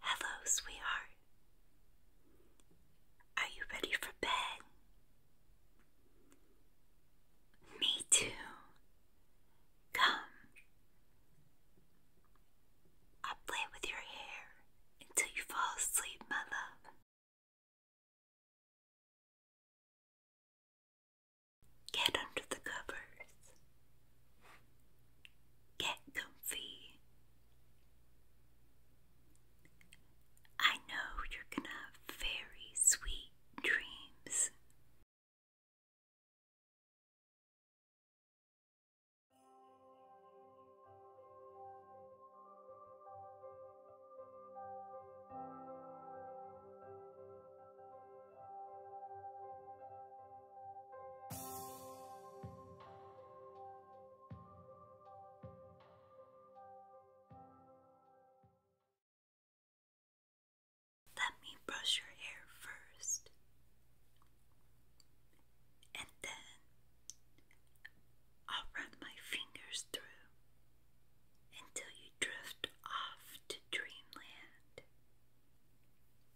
Hello, sweetheart. Are you ready for bed? Me too. Come. I'll play with your hair until you fall asleep, my love. Get under the covers. Get comfy. I know you're gonna have very sweet dreams. Let me brush your hair first, and then I'll run my fingers through until you drift off to dreamland.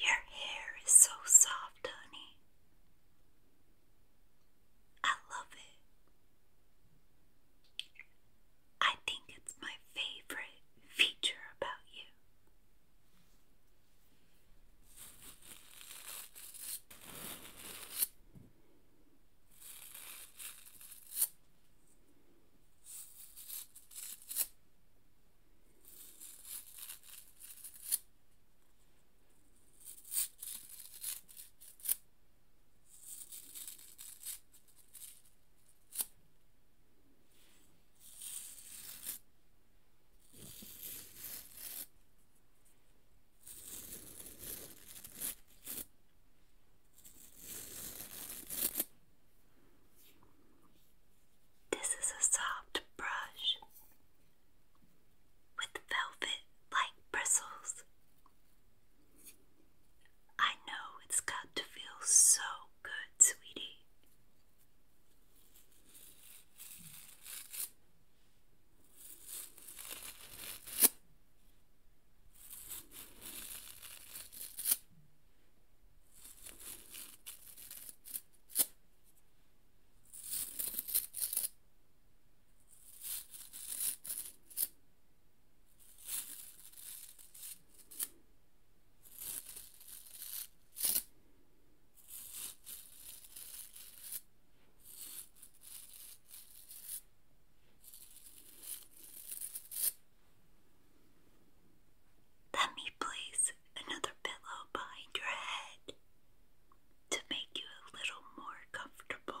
Your hair is so soft, honey. I love it. I think it's my favorite feature about you. This is a soft brush with velvet like bristles I know it's got to feel so good, sweetie. Let me place another pillow behind your head to make you a little more comfortable.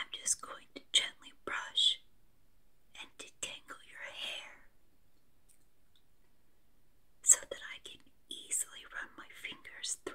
I'm just going to gently brush and detangle your hair so that I can easily run my fingers through.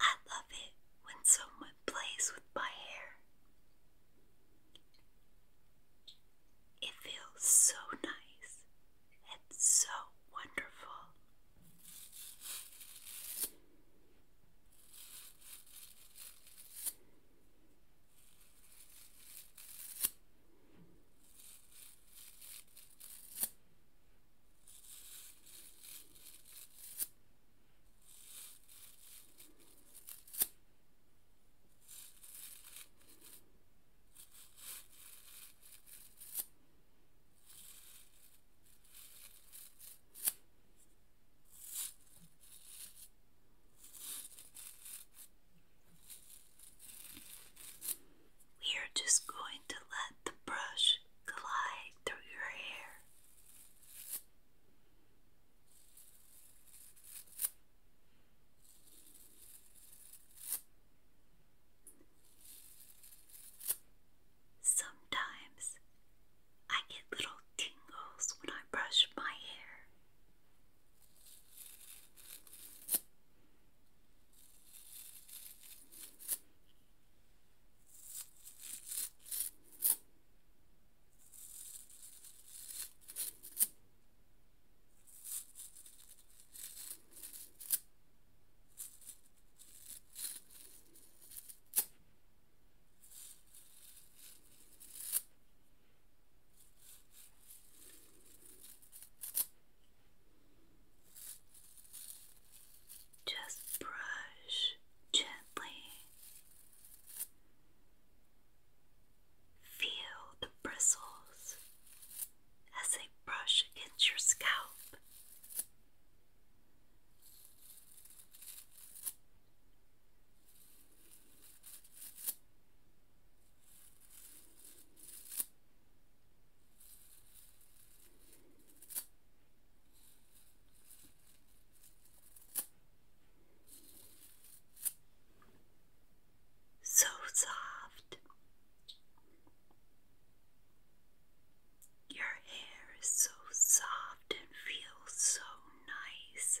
I love it when someone it plays with my hair. It feels so nice and so wonderful. We are just going to let the brush glide through your hair. Sometimes I get little tingles when I brush my hair. Just brush gently Feel the bristles as they brush against your scalp. So soft. Your hair is so soft and feels so nice.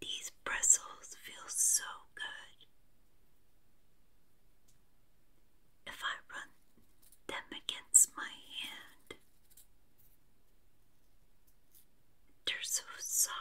These bristles feel so good if I run them against my hand. They're so soft.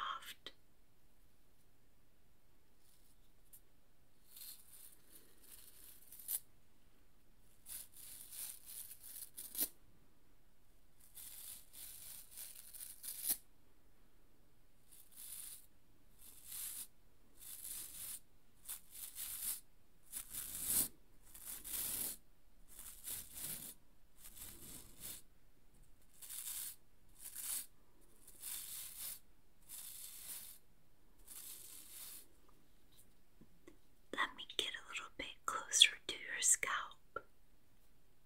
Let me get a little bit closer to your scalp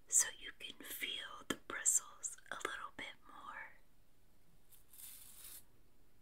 so you can feel the bristles a little bit more.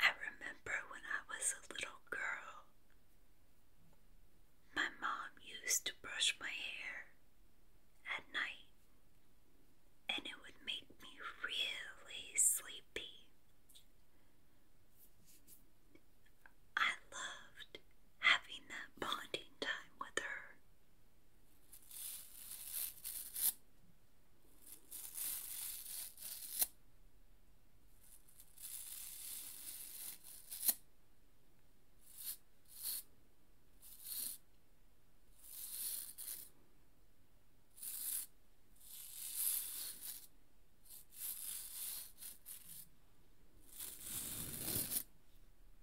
I remember when I was a little girl, my mom used to brush my hair at night, and it would make me really sleepy. I loved having that bonding time with her.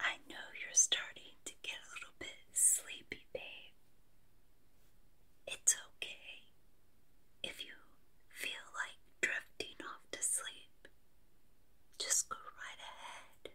I know you're starting to get a little bit sleepy, babe. It's okay if you feel like drifting off to sleep. Just go right ahead.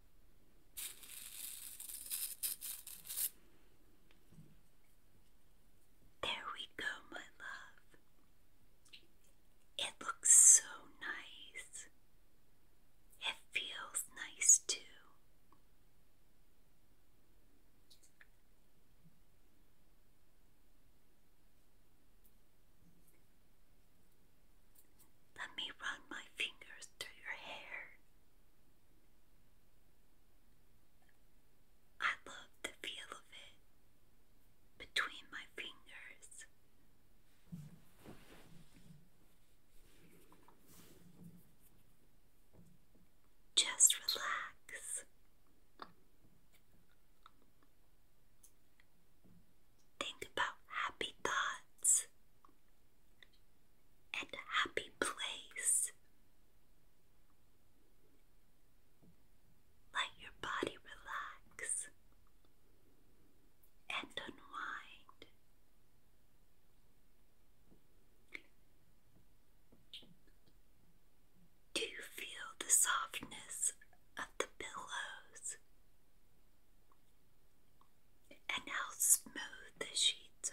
There we go, my love. It looks so nice. It feels nice too. Let me run my fingers through your hair. I love the feel of it between my fingers. Just relax. Think about happy thoughts and happy place. Let your body relax and unwind. Do you feel the softness of the pillows and how smooth the sheets are.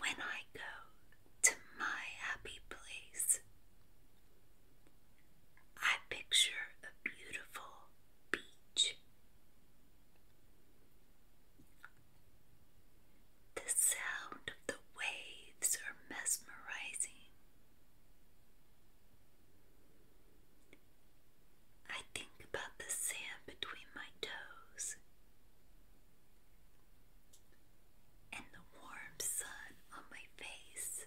When I go to my happy place, I picture a beautiful beach. The sound of the waves are mesmerizing. I think about the sand between my toes and the warm sun on my face.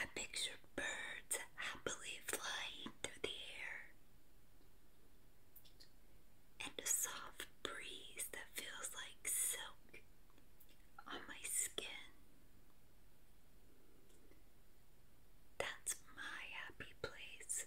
I picture birds happily flying through the air and a soft breeze that feels like silk on my skin. That's my happy place.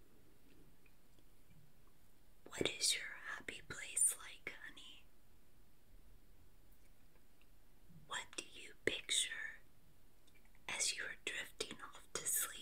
What is your happy place like, honey? What do you picture as you are drifting off to sleep?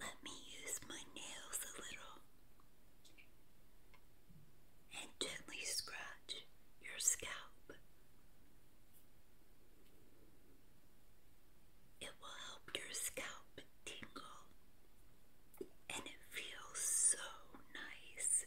Let me use my nails a little and gently scratch your scalp it will help your scalp tingle and it feels so nice.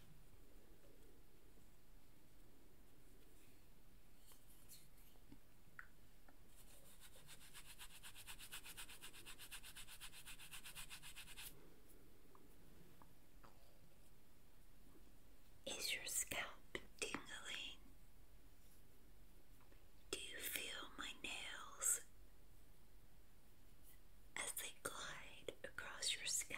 Is your scalp tingling? Do you feel my nails as they glide across your scalp.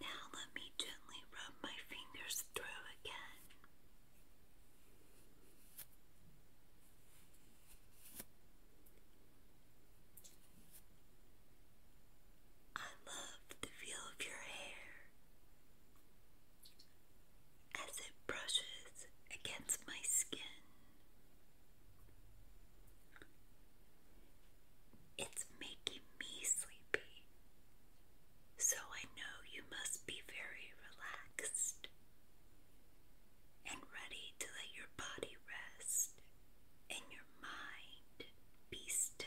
Now let me gently rub my fingers through again. I love the feel of your hair as it brushes against my skin. It's making me sleepy, so I know you must be very relaxed and ready to let your body rest and your mind be still.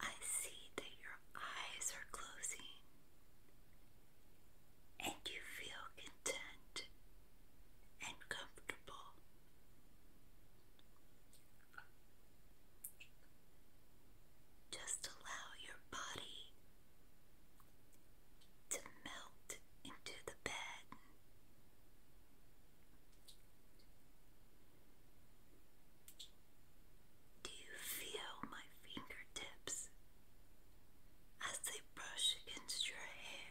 I see that your eyes are closing and you feel content and comfortable. Just allow your body to melt into the bed do you feel my fingertips as they brush against your hair?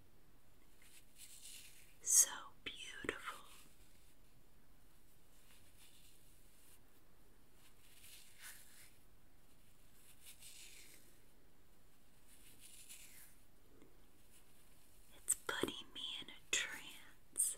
so beautiful. It's putting me in a trance.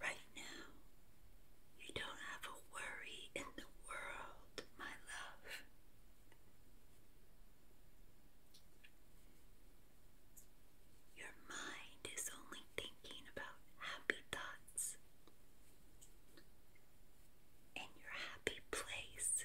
Right now, you don't have a worry in the world, my love. Your mind is only thinking about happy thoughts, and your happy place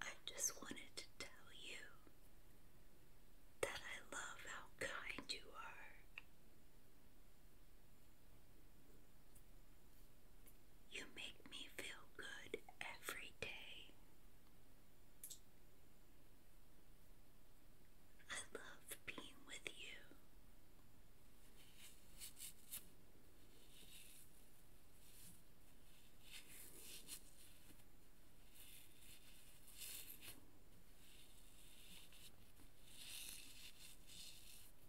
I just wanted to tell you that I love how kind you are. You make me feel good every day. I love being with you.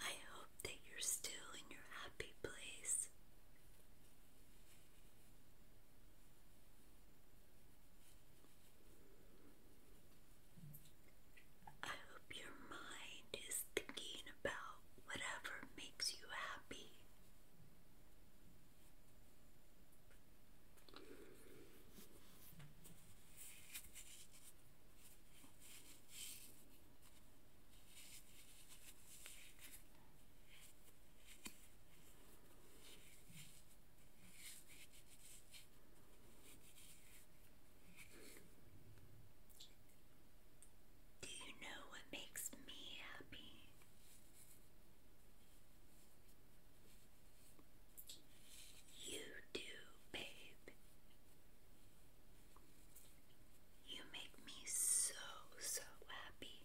I hope that you're still in your happy place. I hope your mind is thinking about whatever makes you happy. Do you know what makes me happy? You do, babe. You make me so, so happy.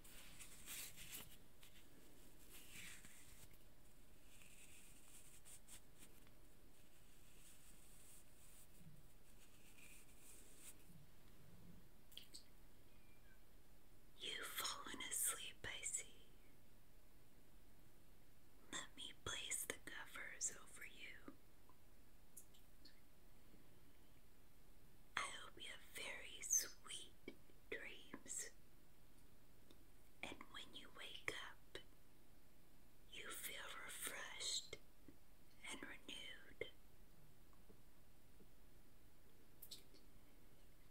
You've fallen asleep, I see. Let me place the covers over you. I hope you have very sweet dreams. And when you wake up, you feel refreshed and renewed.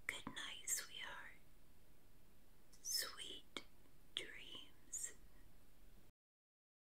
Good night, sweetheart. Sweet dreams.